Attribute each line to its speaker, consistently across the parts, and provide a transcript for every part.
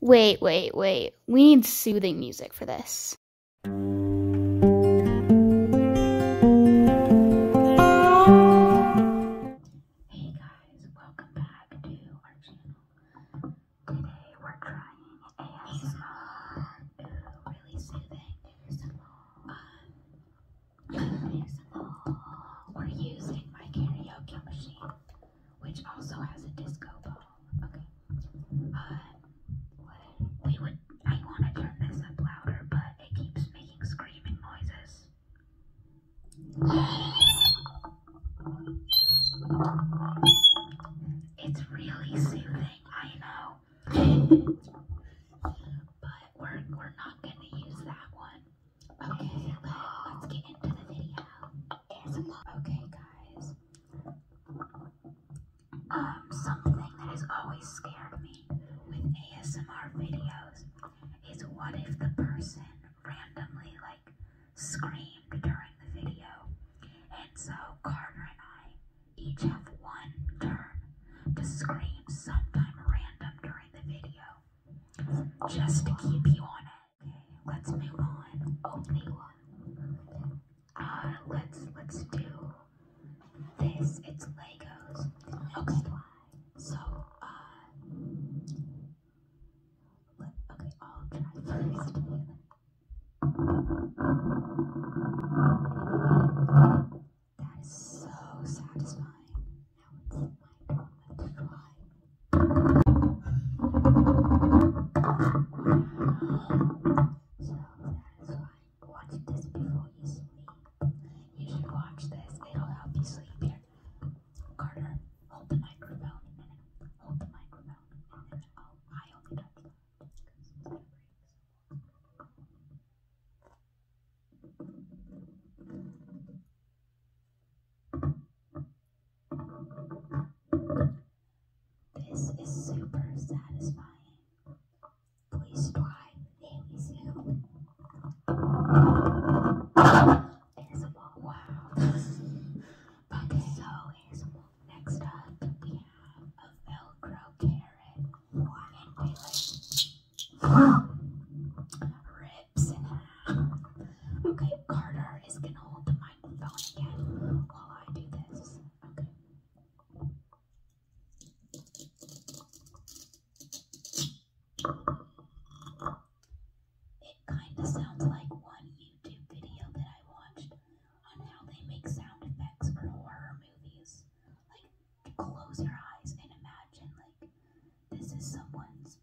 Speaker 1: Wait, wait, wait. We need soothing music for this. Hey guys, welcome back to our channel. Today we're trying ASMR. Ooh, really soothing. Um, we're using my karaoke machine, which also has a disco ball. Okay. Uh, we would. I want to turn this up louder, but it keeps making screaming noises. It's really soothing, I know. but we're we're not gonna use that one. Okay, uh, let's get into the video. Okay, guys. Um, something that has always scared me with ASMR videos is what if the person randomly like screamed during the video? And so Carter and I each have one turn to scream sometime random during the video just to keep you on it. Okay, let's move on. Only one. Uh, let's let's do this. It's Legos. Okay. So, uh, let, okay, I'll try first. That is so satisfying. Now it's my moment to fly. So satisfying. Watch this before you sleep. You should watch this. It'll help you sleep. Here, Carter, hold the microphone a minute. Hold the microphone. And then, oh, I only touched that. This is super satisfying. Please try very soon. ASMR. Wow. okay, so ASMR. Next up, we have a Velcro carrot. One Rips and half. Okay, Carter is gonna hold the microphone again while I do this. Okay. It kind of sounds like one YouTube video that I watched on how they make sound effects for horror movies. Like, close your eyes and imagine, like, this is someone's.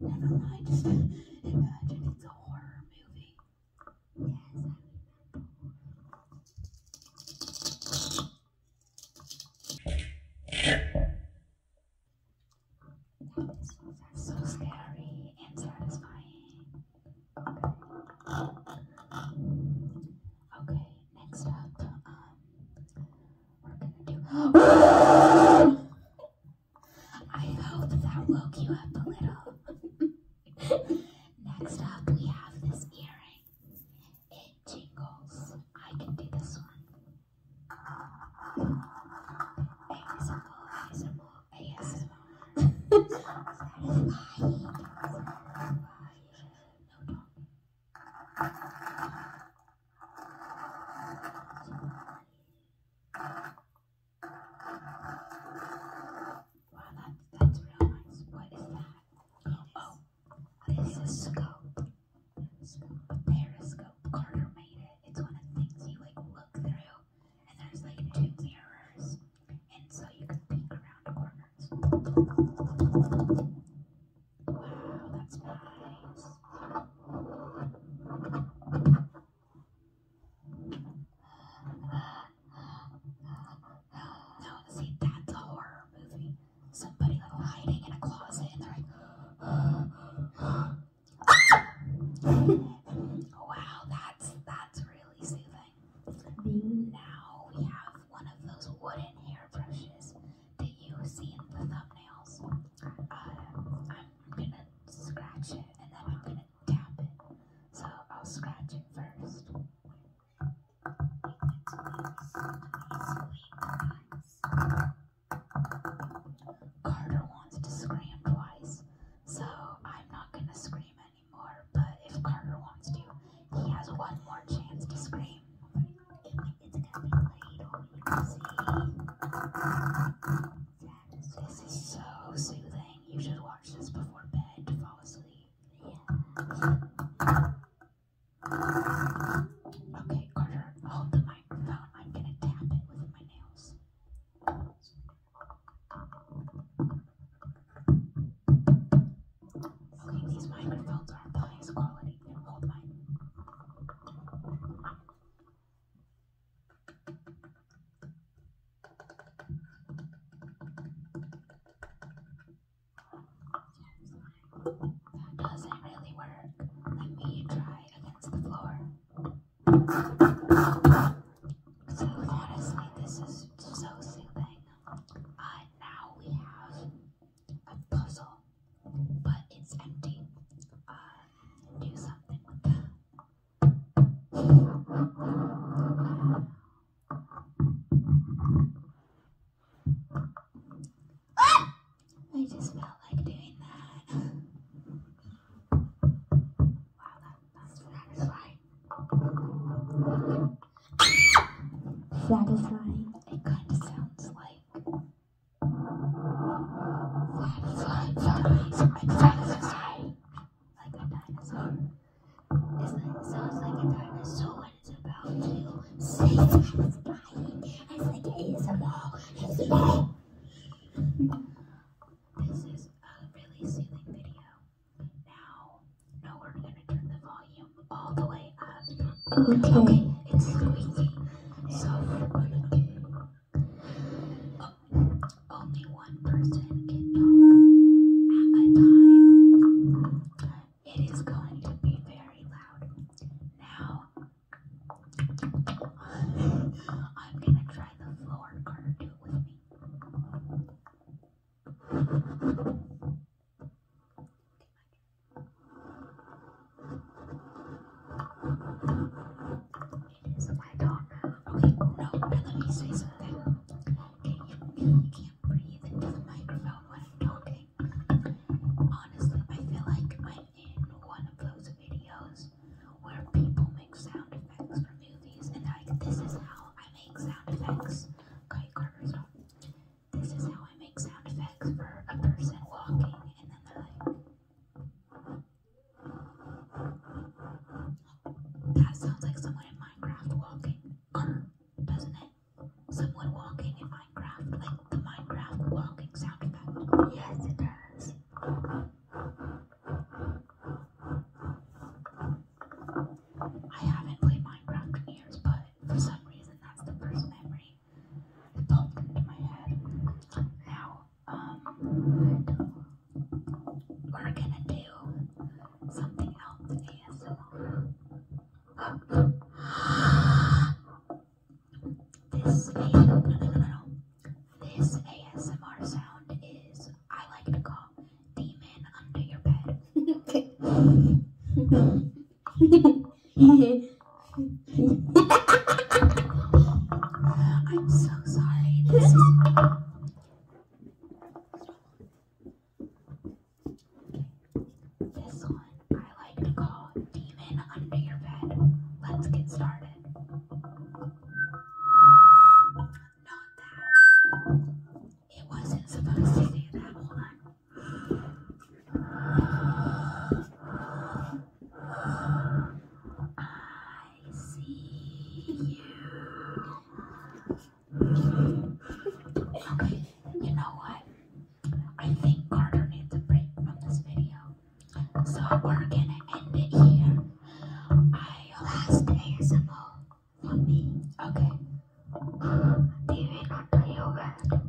Speaker 1: Never mind. Just imagine it's a horror movie. Yes, That is so scary and satisfying. Okay. Next up, um, we I hope that woke you up a little. Next up, we have this earring. It jingles. I can do this one. Wow, that, that's real nice. What is that? Oh, this is a scope. Scope. A periscope. Carter made it. It's one of the things you like look through, and there's like two mirrors, and so you can peek around corners. Wow, that's not nice. No, see, that's a horror movie. Somebody like hiding in a closet and they're like, wow, that's that's really soothing. Now we have one of those wooden hairbrushes that you see in the thumbnails. Uh, I'm, gonna scratch it and then I'm gonna tap it. So I'll scratch it first. Carter wants to scream twice, so I'm not gonna scream anymore. But if Carter wants to, he has one more chance to scream. This is so soothing. You should watch this before bed to fall asleep. Okay, Carter, hold the microphone. I'm gonna tap it with my nails. Okay, these microphones are the highest quality. Hold that doesn't really work. Let me try against the floor. So honestly, this is so soothing. Uh, now we have a puzzle but it's empty. Uh, do something ah! I just felt like doing that. Wow, that, that's satisfying. Ah! Satisfying. It kind of sounds like. Like a dinosaur. It's like, it sounds like a dinosaur it's about to save its body. It's like a ASMR. This is a really soothing video. Now, now we're gonna turn the volume all the way way up. Okay. It's squeaky. So we're gonna do. Oh, only one person can talk at a time. It is going to be very loud. Now, I'm gonna try the floor card. Do it with me. It is my dog. Okay, cool. No, let me say something. Okay, you really can't breathe into the microphone when I'm talking. Honestly, I feel like I'm in one of those videos where people make sound effects for movies, and like this is how I make sound effects. Okay, Carter, this is how I make sound effects for a person walking, and then they're like, that sounds like someone in Minecraft walking, doesn't it? Someone walking in Minecraft, like the Minecraft walking sound effect. Yes, it does. I haven't played Minecraft in years, but for some reason, that's the first memory now, um, We're gonna do something else ASMR. This, no, This ASMR sound is, I like to call, demon under your bed. okay. I'm so sorry. This one I like to call Demon Under Your Bed. Let's get started. Not that. It wasn't supposed to say that. Hold I see you. Okay, you know what? I think Carter needs a break from this video. So we're gonna end it here. I last ASMR for me. Okay. TV not to you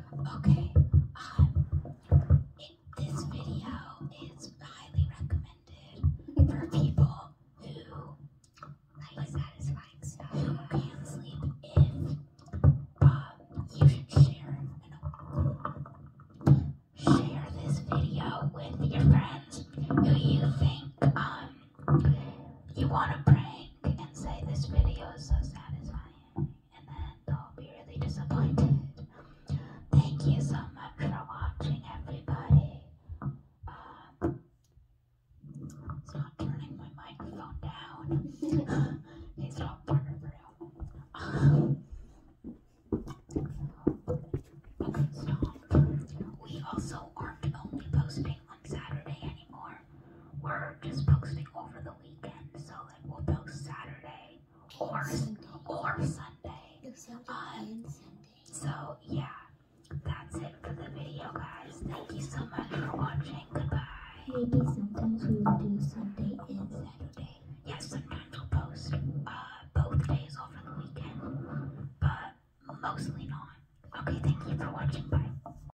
Speaker 1: Okay, um, this video is highly recommended for people who like satisfying stuff, who can't sleep. If um, you should share, share this video with your friends who you think um you want to prank you can say this video is so satisfying and then do will be really disappointed. Thank you so much for watching everybody. it's uh, not turning my microphone down. it's not part of real. okay, stop. We also aren't only posting Saturday anymore. We're just posting over the weekend, so like we'll post Saturday or Sunday. or Sunday. Um, Sunday so yeah, that's it for the video, guys. Thank you so much for watching. Goodbye. Maybe sometimes we will do Sunday and Saturday. Yes, sometimes we'll post uh, both days over the weekend, but mostly not. Okay, thank you for watching. Bye.